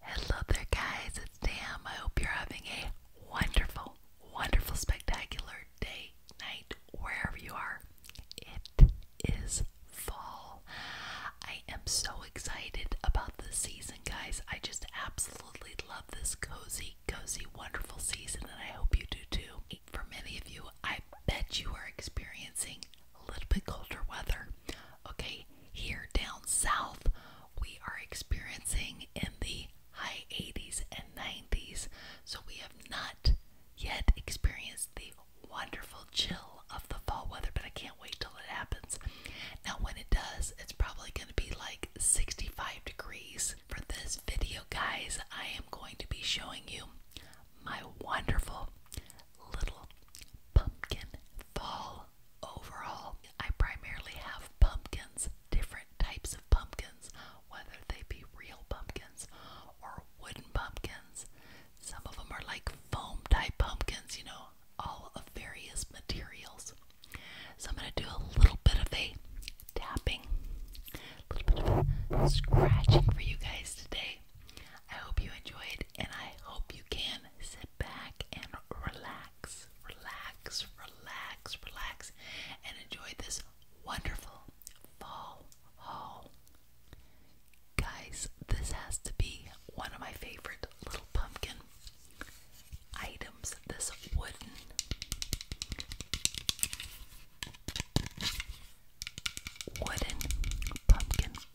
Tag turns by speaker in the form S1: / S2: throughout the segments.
S1: Hello there, guys. It's Sam. I hope you're having a wonderful, wonderful, spectacular day, night, wherever you are. It is fall. I am so excited about this season, guys. I just absolutely love this cozy, cozy, wonderful season, and I hope you do too. For many of you, I bet you are experiencing a little bit colder weather. Okay, here down south, we are experiencing in the high 80s and 90s. So we have not yet experienced the wonderful chill of the fall weather, but I can't wait till it happens. Now, when it does, it's probably going to be like 65 degrees. For this video, guys, I am going to be showing you my wonderful little pumpkin fall overall, I primarily have pumpkins, different types of pumpkins, whether they be real pumpkins or wooden pumpkins. Some of them are like foam type pumpkins, you know, all of various materials. So I'm going to do a little bit of a tapping, a little bit of a scratching for you guys today. I hope you enjoyed and I hope you can sit back and relax relax, relax, relax, and enjoy this wonderful fall haul. Guys, this has to be one of my favorite little pumpkin items. This wooden wooden pumpkin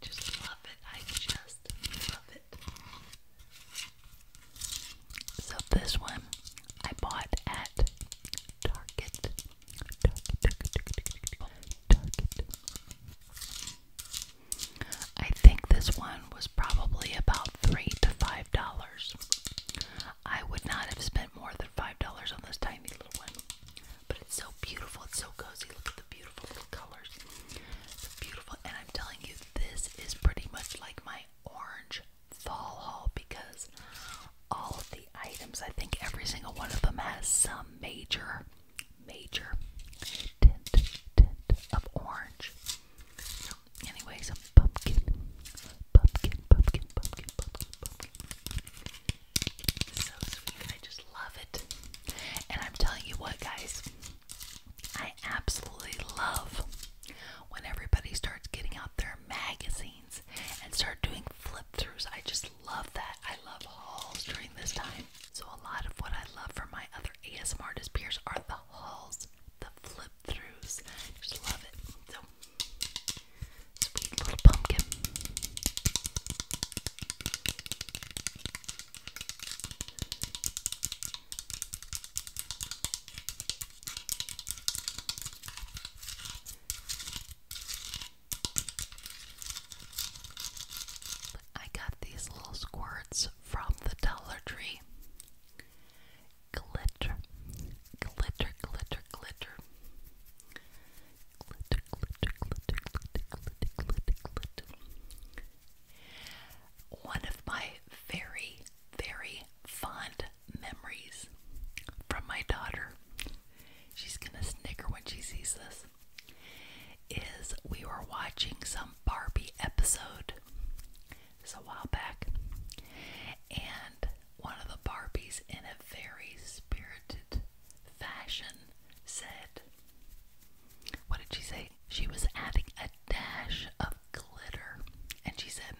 S1: Just love it. I just love it. So this one I bought at Target. I think this one was probably about three to five dollars. I would not have spent more than five dollars on this tiny little one. But it's so beautiful, it's so cozy. Look at the beautiful little colors. It's beautiful and I'm telling you this is pretty much like my orange fall haul because all of the items, I think every single one of them has some major, major tint, tint of orange. Anyway, some pumpkin. Pumpkin, pumpkin, pumpkin, pumpkin, pumpkin. So sweet. I just love it. And I'm telling you what, guys, I absolutely love when everybody starts getting out their magazines and start doing flip throughs. I just love that. I love hauls during this time. So, a lot of what I love from my other ASMR peers are the hauls, the flip throughs. Just love it. So, Sweet little pumpkin. I got these little squirts from the Dollar Tree glitter, glitter, glitter, glitter, glitter, glitter, glitter, glitter, glitter, glitter, glitter. One of my very, very fond memories from my daughter. She's gonna snicker when she sees this. Is we were watching some Barbie episode this a while back, and one of the Barbies, in a very spirited fashion, said, What did she say? She was adding a dash of glitter, and she said,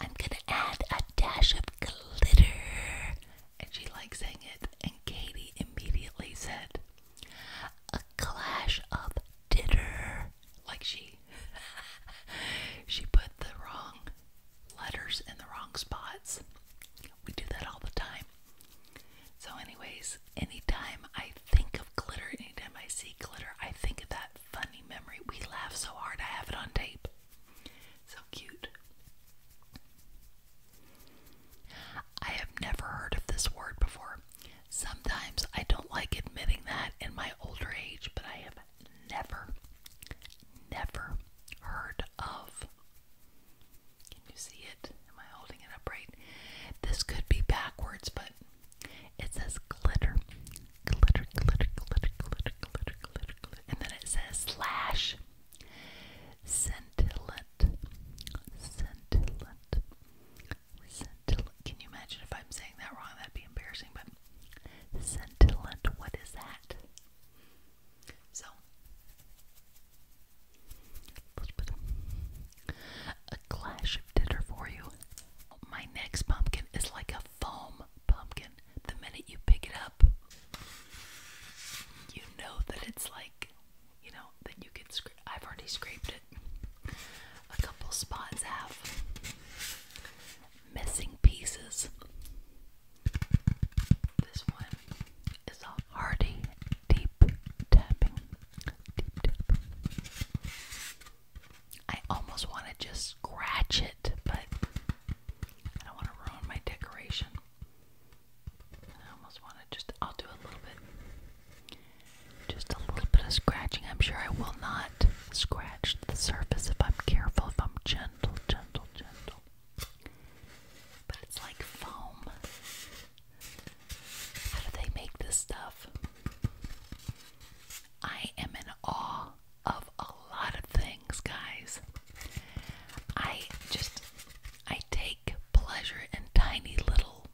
S1: I'm gonna add a dash of glitter. And she likes sang it, and Katie immediately said, A clash of dinner like she she put the wrong letters in the wrong spots. We do that all the time. So anyways, anytime I think of glitter, anytime I see glitter, I think of that funny memory. We laugh so hard I have it on tape. So cute. I have never heard of this word before. Sometimes I don't like admitting that in my older age, but I have never, never heard of. Can you see it? Am I holding it up This could be backwards, but it says glitter, glitter, glitter, glitter, glitter, glitter, glitter, glitter, and then it says slash scintillant, scintillant, scintillant. Can you imagine if I'm saying that wrong? That'd be embarrassing, but Scintillant, what is that? So, a clash of dinner for you. My next pumpkin is like a foam pumpkin. The minute you pick it up, you know that it's like, you know, that you can I've already scraped it. A couple spots have missing pieces. This one is a hearty deep tapping. I almost want to just scratch it, but I don't want to ruin my decoration. I almost want to just, I'll do a little bit. Just a little bit of scratching. I'm sure I will not not scratch the surface if I'm careful, if I'm gentle, gentle, gentle. But it's like foam. How do they make this stuff? I am in awe of a lot of things, guys. I just, I take pleasure in tiny little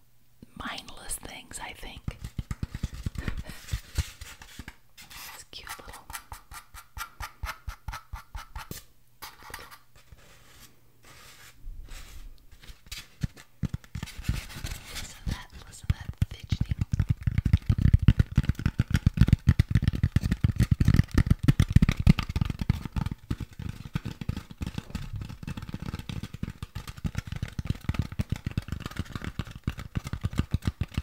S1: mindless things, I think. It's cute little. Listen to that, listen to that fidgeting.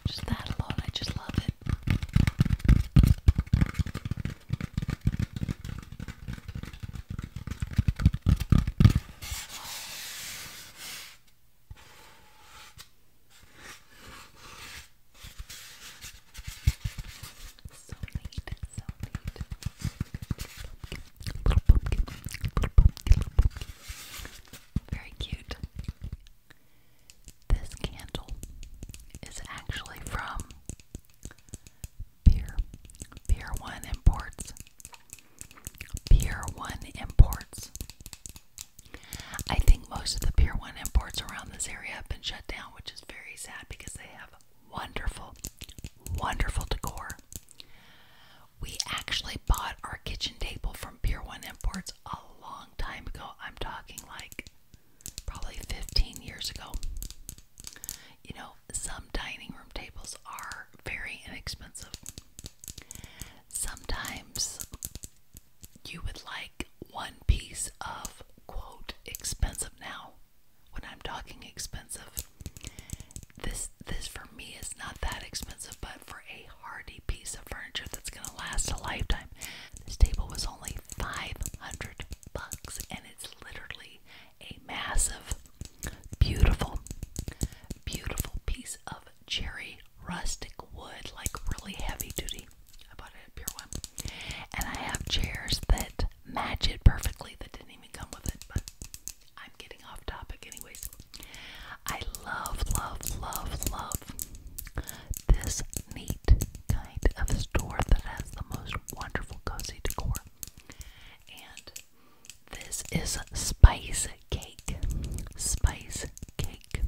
S1: Just that alone, I just love it. So neat, so neat. Very cute. This candle is actually from Pier. Pier 1 Imports. Pier 1 Imports. I think most of the Pier 1 imports around this area have been shut down, which is very sad because they have wonderful, wonderful decor. We actually bought our kitchen table from Pier 1 Imports a long time ago. I'm talking like probably 15 years ago. You know, some dining room tables are very inexpensive. Sometimes you would like one piece of quote expensive now. When I'm talking expensive, this this for for me it's not that expensive, but for a hardy piece of furniture that's gonna last a lifetime, this table was only 500 bucks, and it's literally a massive, beautiful, beautiful piece of cherry rustic wood, like really heavy duty. I bought it at Pier One, and I have chairs that match it perfectly that didn't even come with it, but I'm getting off topic, anyways. I love, love, love, love this neat kind of store that has the most wonderful cozy decor. And this is spice cake. Spice cake.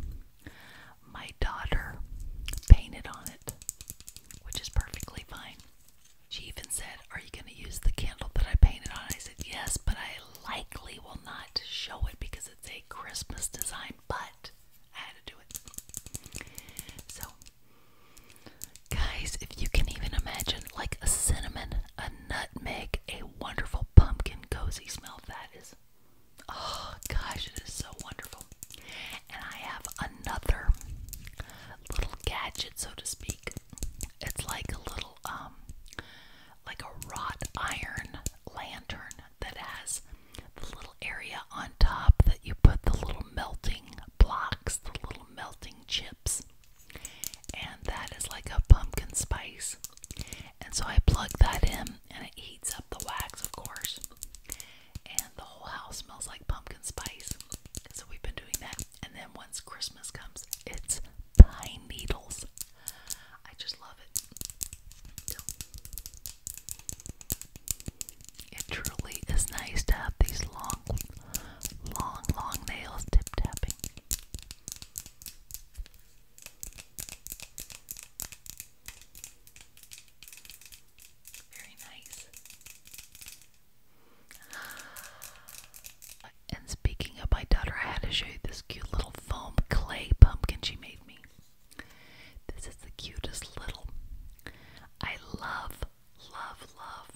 S1: My daughter painted on it, which is perfectly fine. She even said, Are you going to use the candle that I painted on? I said, Yes, but I likely will not show it because it's a Christmas design, but I had to do it. So, guys, if you can even imagine, like a cinnamon, a nutmeg, a wonderful pumpkin cozy smell, that is. Oh gosh, it is so wonderful. And I have another little gadget, so to speak. It's like a little um like a wrought iron lantern that has the little area on top that you put the little melting blocks, the little melting chips. And that is like a pumpkin spice. And so I plug that in and it heats up the wax, of course. And the whole house smells like pumpkin spice. So we've been doing that. And then once Christmas comes, it's pine needles. I just love it. it truly is nice to have these long, long, long nails tip tapping. Very nice. And Speaking of my daughter, I had to show you this cute little foam clay pumpkin she made me. This is the cutest little. I love, love, love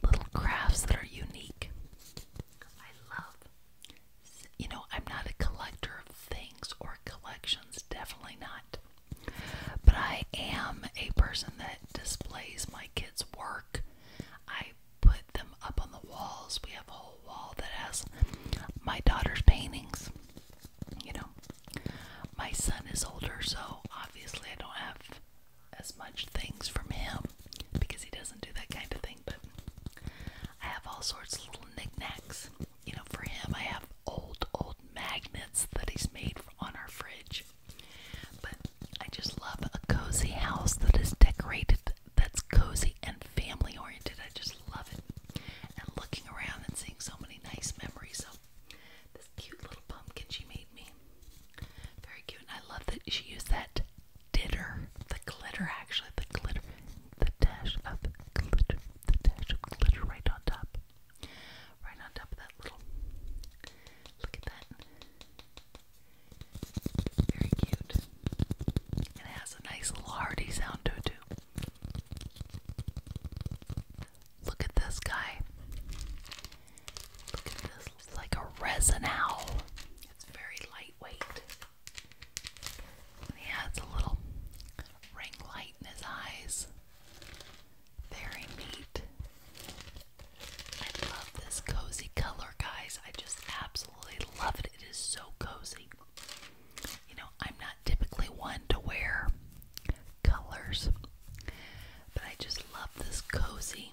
S1: little crafts that are unique. You know, I'm not a collector of things or collections, definitely not. But I am a person that displays my kids' work. I put them up on the walls. We have a whole wall that has my daughter's paintings. You know, my son is older, so obviously I don't have as much things from him because he doesn't do that kind of thing. But I have all sorts of little knickknacks. You know, for him, I have old, old magnets that he's made on our fridge. But I just love a cozy house that is decorated that's cozy and family oriented. I just love it. And looking around and seeing so many nice memories. So this cute little pumpkin she made me. Very cute. And I love that she used that ditter. The glitter actually. The glitter. The dash of glitter. The dash of glitter right on top. Right on top of that little. Look at that. Very cute. And it has a nice little hearty sound to it too. Look at this guy. Look at this. like a resin owl. It's very lightweight. he has a little ring light in his eyes. Very neat. I love this cozy color, guys. I just absolutely absolutely love it. It is so cozy. You know, I'm not typically one to wear colors, but I just love this cozy,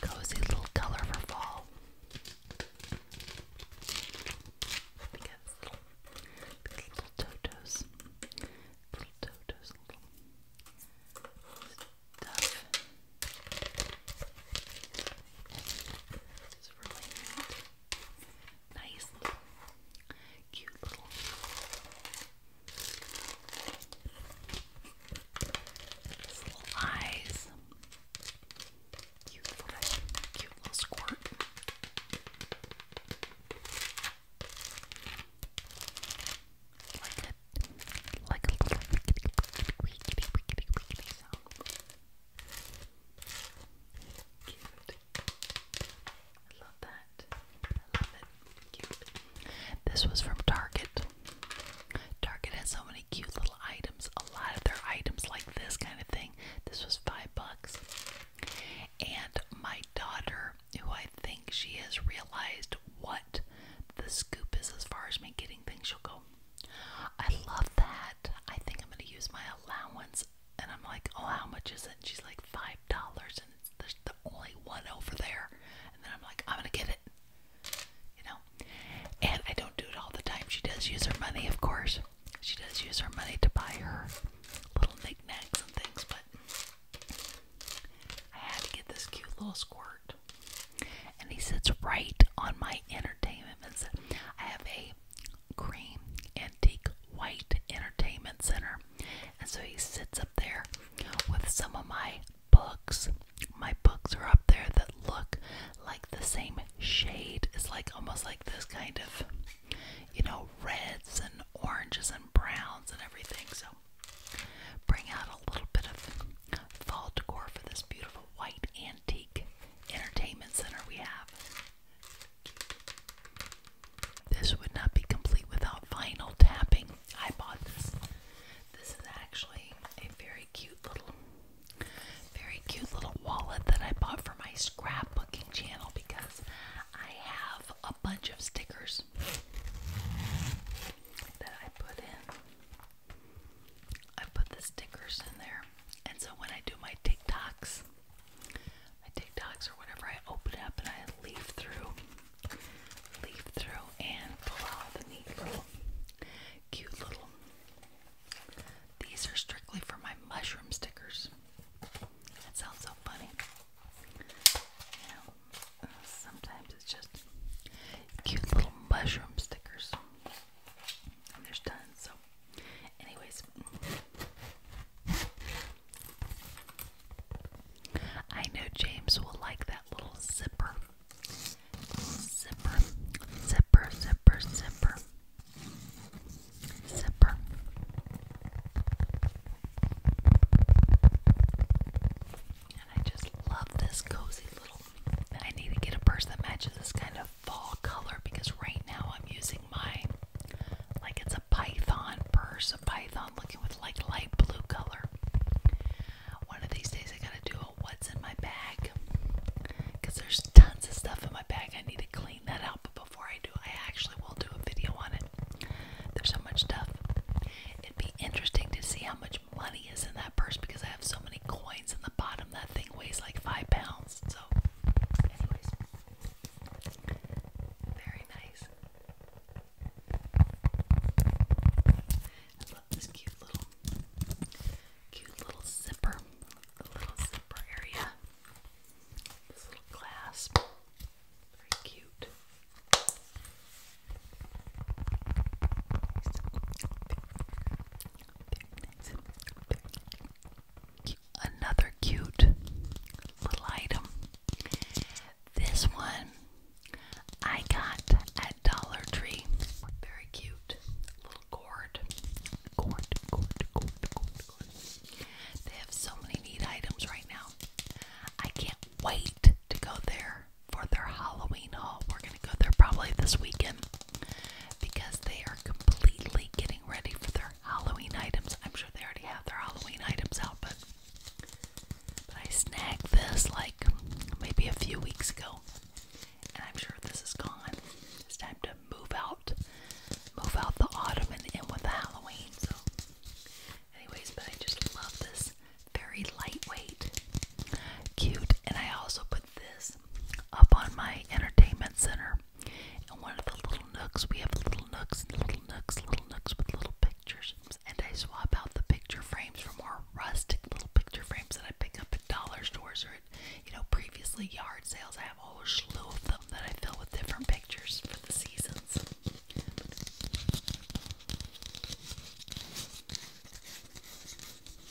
S1: cozy little color for fall. Look at these little totos, little totos, little stuff. This is really neat. Nice little, cute little. His little eyes. Cute little, cute little squirt. Like a, like a little wiggity, wiggity, wiggity, wiggity sound. Cute. I love that. I love it. Cute. This was from Target. Target has so many cute little items. A lot of their items like this kind of thing. This was five bucks. And my daughter, who I think she has realized what the scoop is as far as me getting things, she'll go, I love that. I think I'm gonna use my allowance. And I'm like, oh, how much is it? she's like, five dollars, and it's, there's the only one over there. And then I'm like, I'm gonna get it, you know. And I don't do it all the time. She does use her money, of course. She does use her money to buy her little knickknacks and things, but I had to get this cute little squirt. And he sits right on my entertainment. I have a cream antique white entertainment center. And so he sits up there with some of my books. My books are up there that look like the same shade. It's like almost like this kind of, you know, reds and oranges and browns and everything. So bring out a little bit of fall decor for this beautiful white and antique entertainment center we have. This would not be complete without vinyl tapping. I bought this. This is actually a very cute little very cute little wallet that I bought for my scrapbooking channel because I have a bunch of stickers that I put in I put the stickers in there, and so when I do my TikToks, my TikToks or whatever, I open it up and I leaf through, leaf through, and pull out the neat little, cute little. These are strictly for my mushroom stickers. That sounds so funny. You know, sometimes it's just cute little mushroom stickers there's tons. So, anyways, I know James will like that little zipper. Zipper, zipper, zipper, zipper, zipper. And I just love this cozy little I need to get a purse that matches this kind of fall color because right now I'm using my like it's a python purse, a python looking with like light blue color. One of these days I gotta do a what's in my bag because there's tons of stuff in my bag. I need to clean that out, but before I do, I actually will do a video on it. There's so much stuff. It'd be interesting to see how much money is in that purse because I have so many coins in the bottom. That thing weighs like five pounds. So, very nice. I love this cute little, cute little zipper, the little zipper area. This little clasp, very cute very nice. Another cute little item. This one I got at Dollar Tree. Very cute little cord. Cord, cord, cord, cord, cord. They have so many neat items right now. I can't wait to go there for their Halloween haul. We're going to go there probably this weekend because they are completely getting ready for their Halloween items. I'm sure they already have their Halloween items out, but but I snagged this like maybe a few weeks ago. And I'm sure this is gone. It's time to move out. Move out the autumn and in with the Halloween. So anyways, but I just love this very lightweight, cute, and I also put put this up on my entertainment center in one of the little nooks. We have little nooks, little nooks, little nooks with little pictures. And I swap out the picture frames for more rustic little picture frames that I pick up at dollar stores or at, you know, previously yard sales. I have a whole slew of them that I fill with different pictures for the seasons.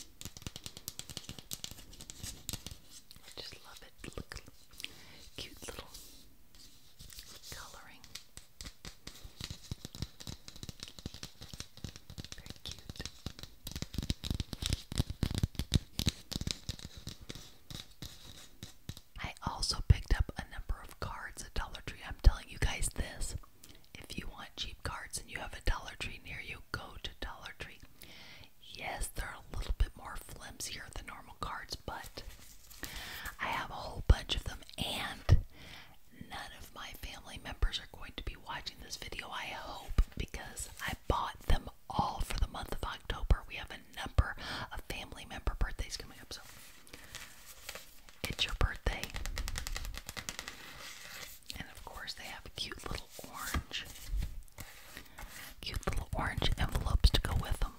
S1: I just love it. Look, cute little coloring. Very cute. I also picked up a number of cards at Dollar Tree. I'm telling you guys this. If you want cheap cards and you have a Dollar Tree near you, go to Dollar Tree. Yes, they're a little bit more flimsier than normal cards, but I have a whole bunch of them, and none of my family members are going to be watching this video, I hope, because I bought them all for the month of October. We have a number of family member birthdays coming up, so it's your birthday. And of course, they have cute little orange, cute little orange envelopes to go with them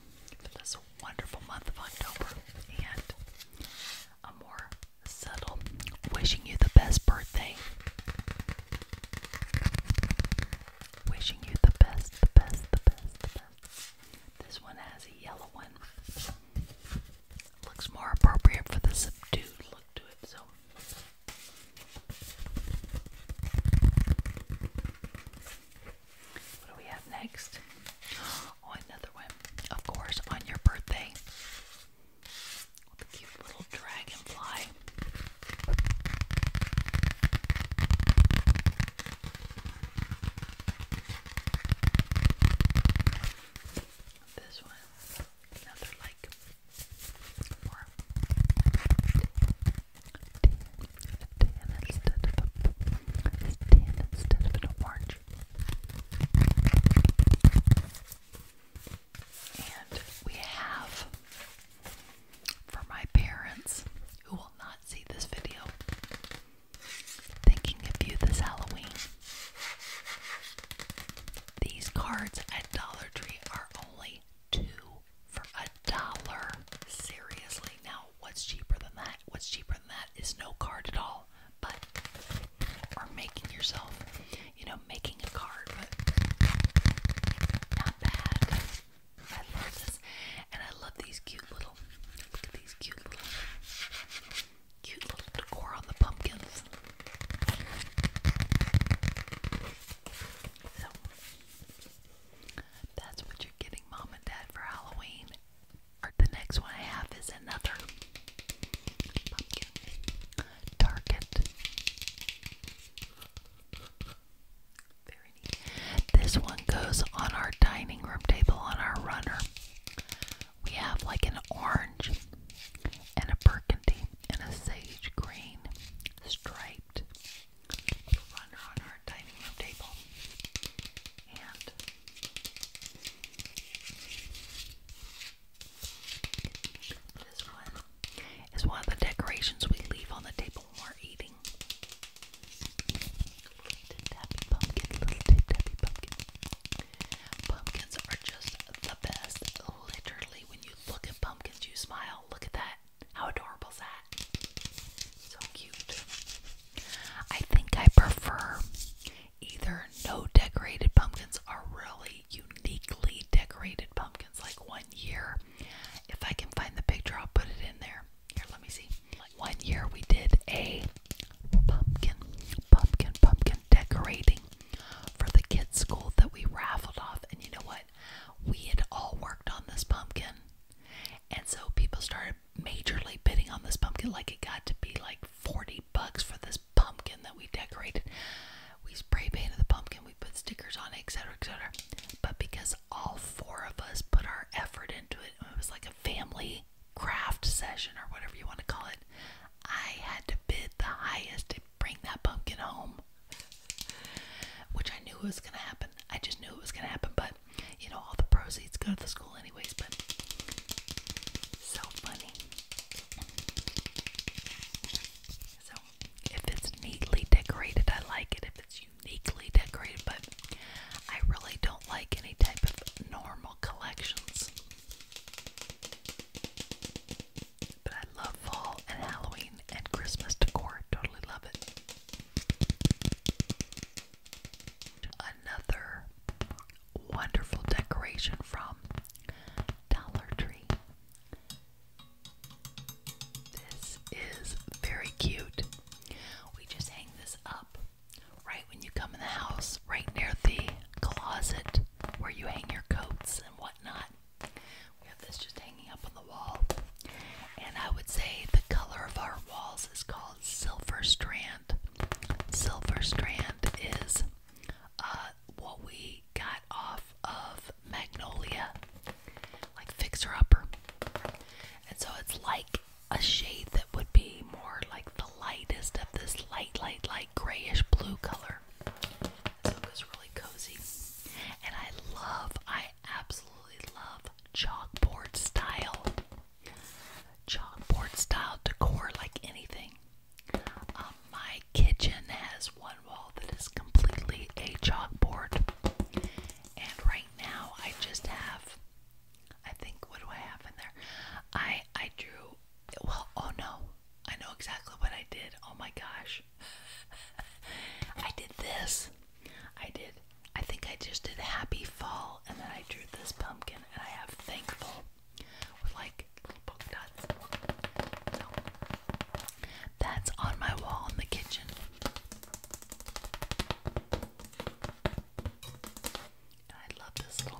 S1: for a wonderful month of October. And a more subtle wishing you the best birthday. Wishing you the best, the best, the best, the best. This one has a yellow one. Looks more appropriate for the subdued look to it, so what do we have next? Oh, another one. Of course, on your birthday. a cute little dragonfly. This one, another like or tan instead of orange. And we have for my parents who will not see this video thinking of you this Halloween. These cards at Dollar Tree are only two for a dollar. Seriously, now what's cheaper than that? What's cheaper than that is no card at all. But or making yourself, you know, making a card, but not bad. I love this, and I love these cute little. Look at these cute little Cute little decor on the pumpkins. So, that's what you're getting mom and dad for Halloween. The next one I have is another pumpkin. Target. Very neat. This one goes on our dining room table on our runner we have like an orange and a burgundy and a sage green striped runner on our dining room table. And this one is one of the decorations we leave on the table when we're eating. Little tip, pumpkin, little tip, pumpkin. Pumpkins are just the best. Literally, when you look at pumpkins, you smile. Look at that. How adorable is that? So cute. I think I prefer either no decorated pumpkins or really uniquely decorated pumpkins. Like one year, if I can find the picture, I'll put it in there. Here, let me see. one year we did a pumpkin, pumpkin, pumpkin decorating for the kids' school that we raffled off. And you know what? We had all worked on this pumpkin. And so people started majorly bidding on this pumpkin. Like it got to be like 40 bucks for this pumpkin that we decorated. We spray painted the pumpkin, we put stickers on it, etc. etc. But because all four of us put our effort into it, it was like a family craft session or whatever you want to call it, I had to bid the highest. It bring that pumpkin home. Which I knew was gonna happen. I just knew it was gonna happen, but you know, all the proceeds go to the school anyways, but so funny. So if it's neatly decorated, I like it. If it's uniquely decorated, but I really don't like any type of normal collections. But I love fall and Halloween and Christmas decor. Totally love it. Another wonderful decoration from Dollar Tree. This is very cute. We just hang this up right when you come in the house, right near the closet where you hang your coats and whatnot. We have this just hanging up on the wall. And I would say the color of our walls is called silver strand. Silver strand is uh, what we got off of Magnolia, like fixer upper. And so it's like a shade that would be more like the lightest of this light, light, light grayish blue color. Soka's really cozy. And I love, I absolutely love chalkboard style. Chalkboard style decor like anything. Um, my kitchen has one wall that is completely a chalkboard. And right now I just have I think what do I have in there? I I drew well oh no I know exactly what I did. Oh my gosh. I did this. I did, I think I just did Happy Fall and then I drew this pumpkin and I have Thankful with like little that's on my wall in the kitchen. I love this little,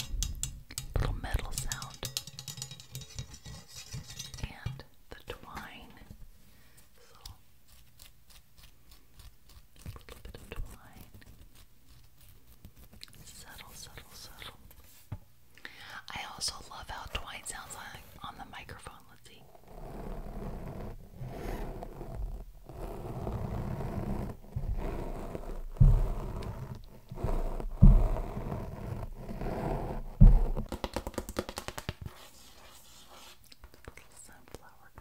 S1: little metal sound and the twine. So a little bit of twine. Settle, settle, settle. I also love how twine sounds like on the microphone. Let's see. Little sunflower,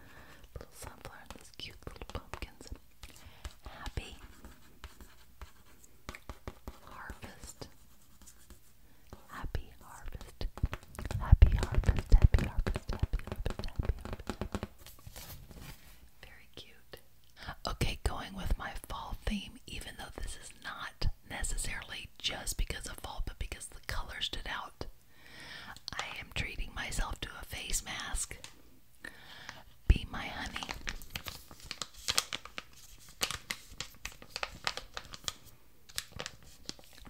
S1: little sunflower, and these cute little pumpkins. Happy harvest. Happy harvest. Happy harvest. Happy harvest. Happy harvest. Happy Very cute. Okay, going with my fall theme, even though this is not necessarily just because of fall, but because the colors stood out. I am treating myself to a face mask. Be my honey.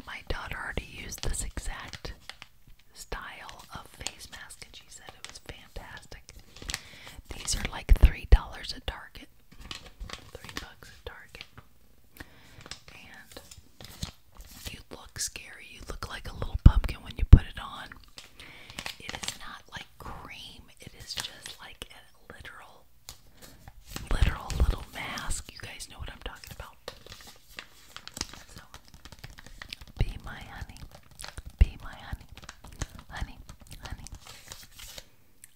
S1: My daughter already used this exact style of face mask, and she said it fantastic. These are like $3 at Target. 3 bucks at Target. And you look scary. You look like a little pumpkin when you put it on. It is not like cream. It is just like a literal literal little mask. You guys know what I'm talking about. So be my honey. Be my honey honey, honey.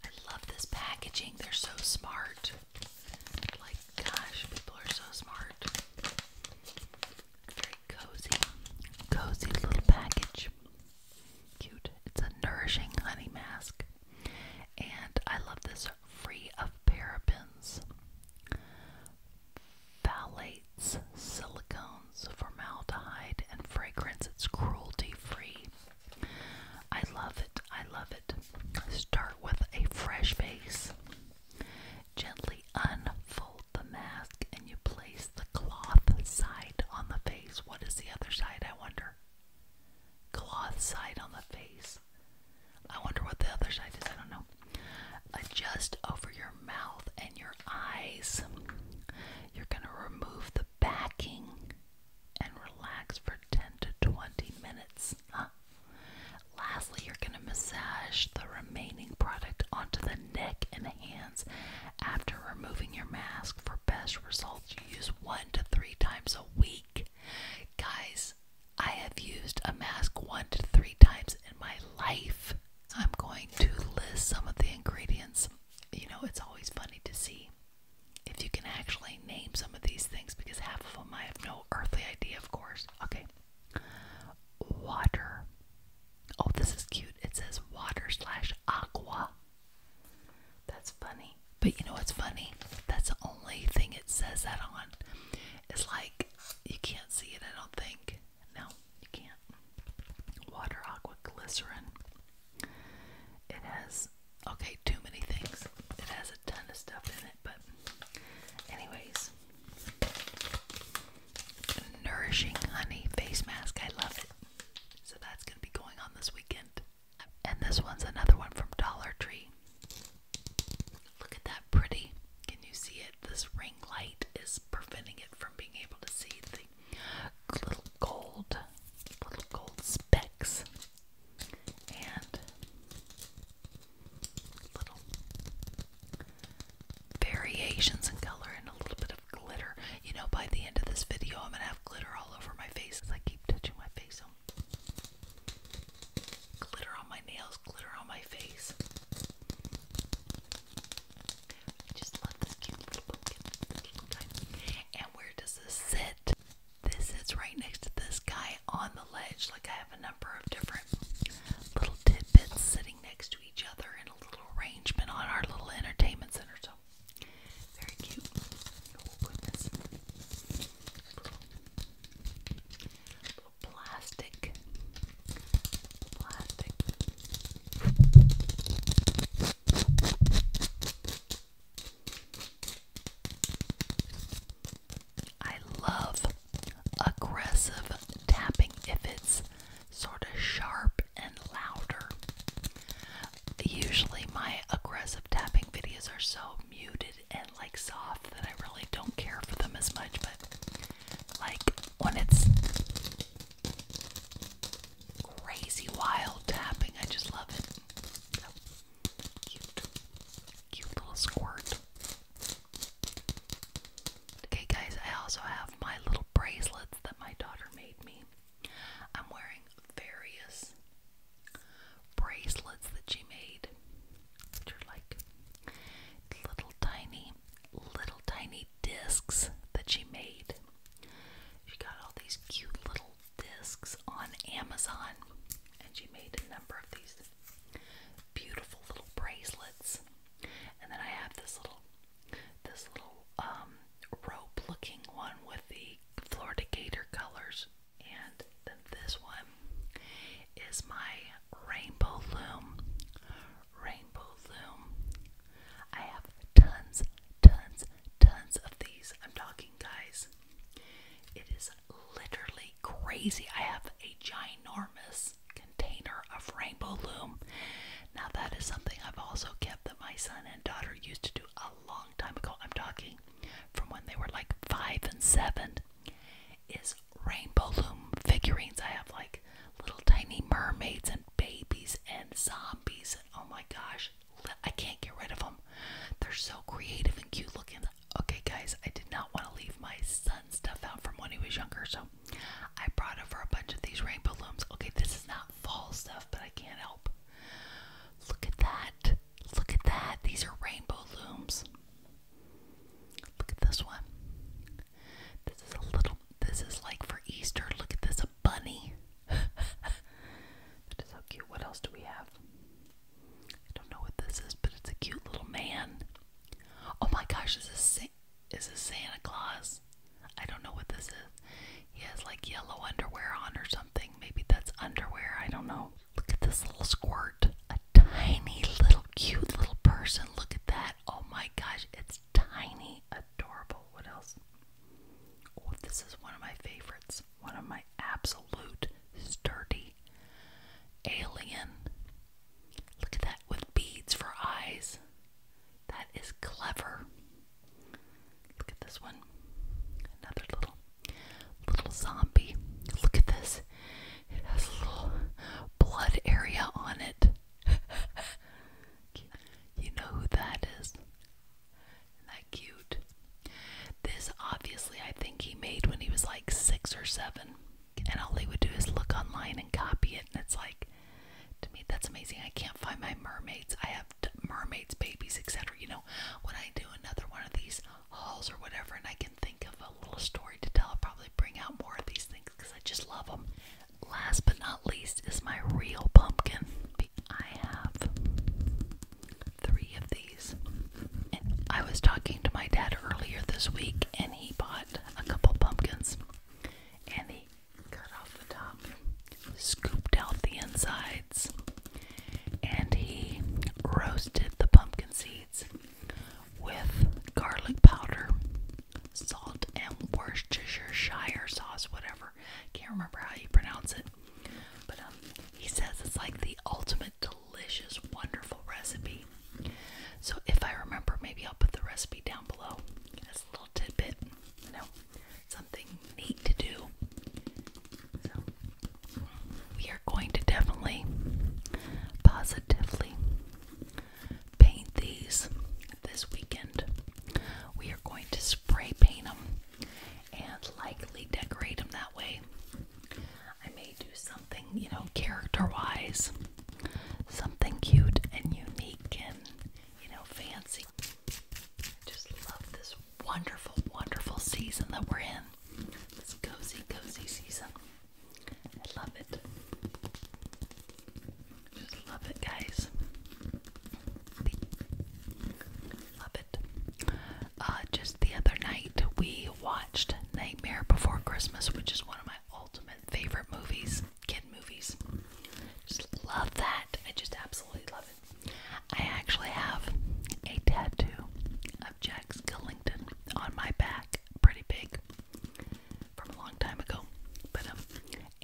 S1: I love this packaging. They're so smart. Like, gosh, people are so smart. Very cozy, cozy little package. Cute. It's a nourishing honey mask. And I love this free of parabens, phthalates, silicone compounds, formaldehyde, and fragrance. It's cruelty free. I love it. I love it. Start with a fresh face. Gently unfold the mask and you place the cloth side on the face. What is the other side, I wonder? Cloth side on the face. I wonder what the other side is. I don't know. Adjust over your mouth and your eyes. You're going to remove the backing and relax for 10 to 20 minutes. Lastly, you're going to massage the remaining product onto the neck and hands after removing your mask for best results. use one to three times a week. Guys, I have used a mask one to three times in my life. I'm going to list some of the ingredients you know, it's always funny to see if you can actually name some of these things because half of them I have no earthly idea, of course. Okay. Water. Oh, this is cute. It says water slash aqua. That's funny. But you know what's funny? That's the only thing it says that on. It's like you can't see it, I don't think. No, you can't. Water, aqua, glycerin. It has, okay, too many things. It has a ton of stuff in it, but, anyways. Nourishing Honey Face Mask. I love it. So that's going to be going on this weekend. And this one's another one from Dollar Tree. Look at that pretty. Can you see it? This ring light is preventing it from being able to see things little gold, little gold specks, and little variations in color and a little bit of glitter. You know, by the end of this video, I'm gonna have glitter all over my face as I keep touching my face. glitter on my nails, glitter on my face. And where does this sit? This sits right next to this guy on the ledge. Like I have a number of different little tidbits sitting next to each other in a little arrangement on our little entertainment center. So very cute. Oh, little plastic, plastic I love aggressive tapping if it's sort of sharp and louder. Usually, my aggressive tapping videos are so muted and like soft that I really don't care for them as much, but like when it's crazy wild tapping. I just love it. Oh, cute. Cute little squirt. Okay, guys, I also have my little bracelets that my daughter made me. I'm wearing various bracelets that she made, which are like little tiny, little tiny discs that she made. She got all these cute little discs on Amazon and she made a number of these beautiful little bracelets. And then I have this little this little um rope looking one with the Florida Gator colors. And then this one is my rainbow loom. Rainbow loom I have tons, tons, tons of these. I'm talking, guys. It is literally crazy. I have a ginormous container of rainbow loom. Now, that is something I've also kept that my son and daughter used to do a long time ago. I'm talking from when they were like five and seven. Is rainbow loom figurines. I have like little tiny mermaids and babies and zombies oh my gosh, I can't get rid of them. They're so creative and cute looking. Okay, guys, I did not want to leave my son's stuff out from when he was younger, so I brought over a bunch of these rainbow looms. Okay, this is not fall stuff, but I can't help. Look at that. Look at that. These are rainbow looms. Look at this one. This is a little, this is like for Easter. Look at this, a bunny that is so cute. What else do we have? I don't know what this is, but it's a cute little man. Oh my gosh, is this is this Santa Claus? I don't know what this is. He has like yellow underwear on or something. Maybe that's underwear. I don't know. Look at this little squirt. A tiny little cute little person. Look at that. Oh my gosh, it's tiny, adorable. What else? this is one of my favorites. One of my absolute sturdy alien. Look at that with beads for eyes. That is clever. Look at this one. Another little little zombie. Look at this. It has a little blood area on it. You know who that is? Isn't that cute? This obviously I think he made when he was like six or seven. And all he would do is look online and copy it. And it's like, to me, that's amazing. I can't find my mermaids. I have mermaids, babies, etc. You know, when I do another one of these hauls or whatever, and I can think of a little story to tell, I'll probably bring out more of these things because I just love them. Last but not least is my real pumpkin. I have three of these. I was talking to my dad earlier this week and he bought a couple pumpkins and he cut off the top, scooped out the insides, and he roasted the pumpkin seeds with garlic powder, salt, and Worcestershire sauce, whatever. Can't remember how you pronounce it. But um, he says it's like the ultimate delicious, wonderful recipe. So if I remember, maybe I'll put the recipe down below as a little tidbit, you know, something neat to do. So we are going to definitely positively paint these this weekend. We are going to spray paint them and likely decorate them that way. I may do something, you know, character wise, something cute and unique and, you know, fancy. I just love this wonderful, wonderful season that we're in. This cozy, cozy season. I love it. Just love it, guys. Love it. Uh, just the other night, we watched Nightmare Before Christmas, which is one of my ultimate favorite movies, kid movies. Just love that. I just absolutely love it. I actually have a tattoo of Jack Skellington on my back, pretty big, from a long time ago. But um,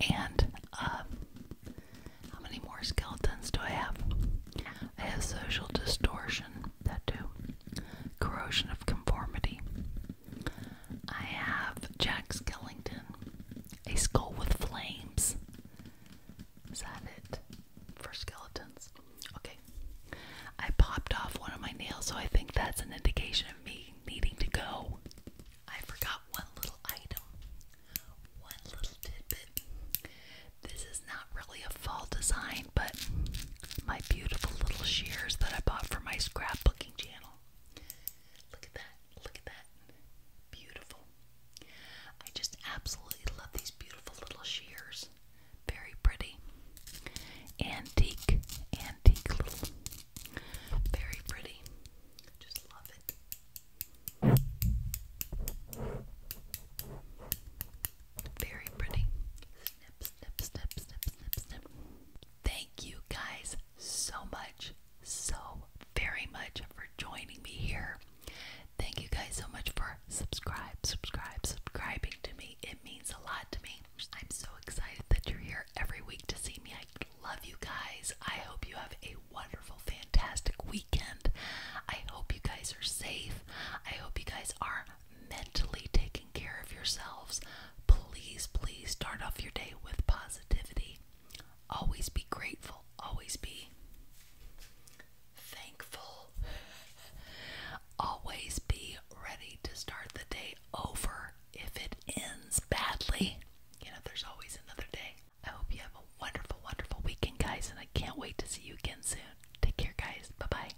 S1: and um, how many more skeletons do I have? I have social distortion, that too. Corrosion of conformity. I have Jack Skellington. A skull with flames. Is that it? For skeletons. Okay. I popped off one of my nails, so I think that's an indication of me needing to go. I forgot one little item. One little tidbit. This is not really a fall design, but my beautiful little shears that I bought for my scrapbooking channel. Look at that. Look at that. Beautiful. I just absolutely love these beautiful little shears. Very pretty. Antique, antique little. Very pretty. Just love it. Very pretty. Snip, snip, snip, snip, snip, snip. Thank you guys so much, so very much for joining me here. Thank you guys so much for subscribe, subscribe, subscribing to me. It means a lot to me. I'm so excited that you're here every week to see me. I love you guys. I hope you have a wonderful, fantastic weekend. I hope you guys are safe. I hope you guys are mentally taking care of yourselves. Please, please start off your day with positivity. Always be grateful. Always be thankful. Always be ready to start the day over if it ends badly. You know, there's always another day. I hope you have a wonderful, wonderful weekend, guys, and I can't wait to see you again soon. Take care, guys. Bye bye.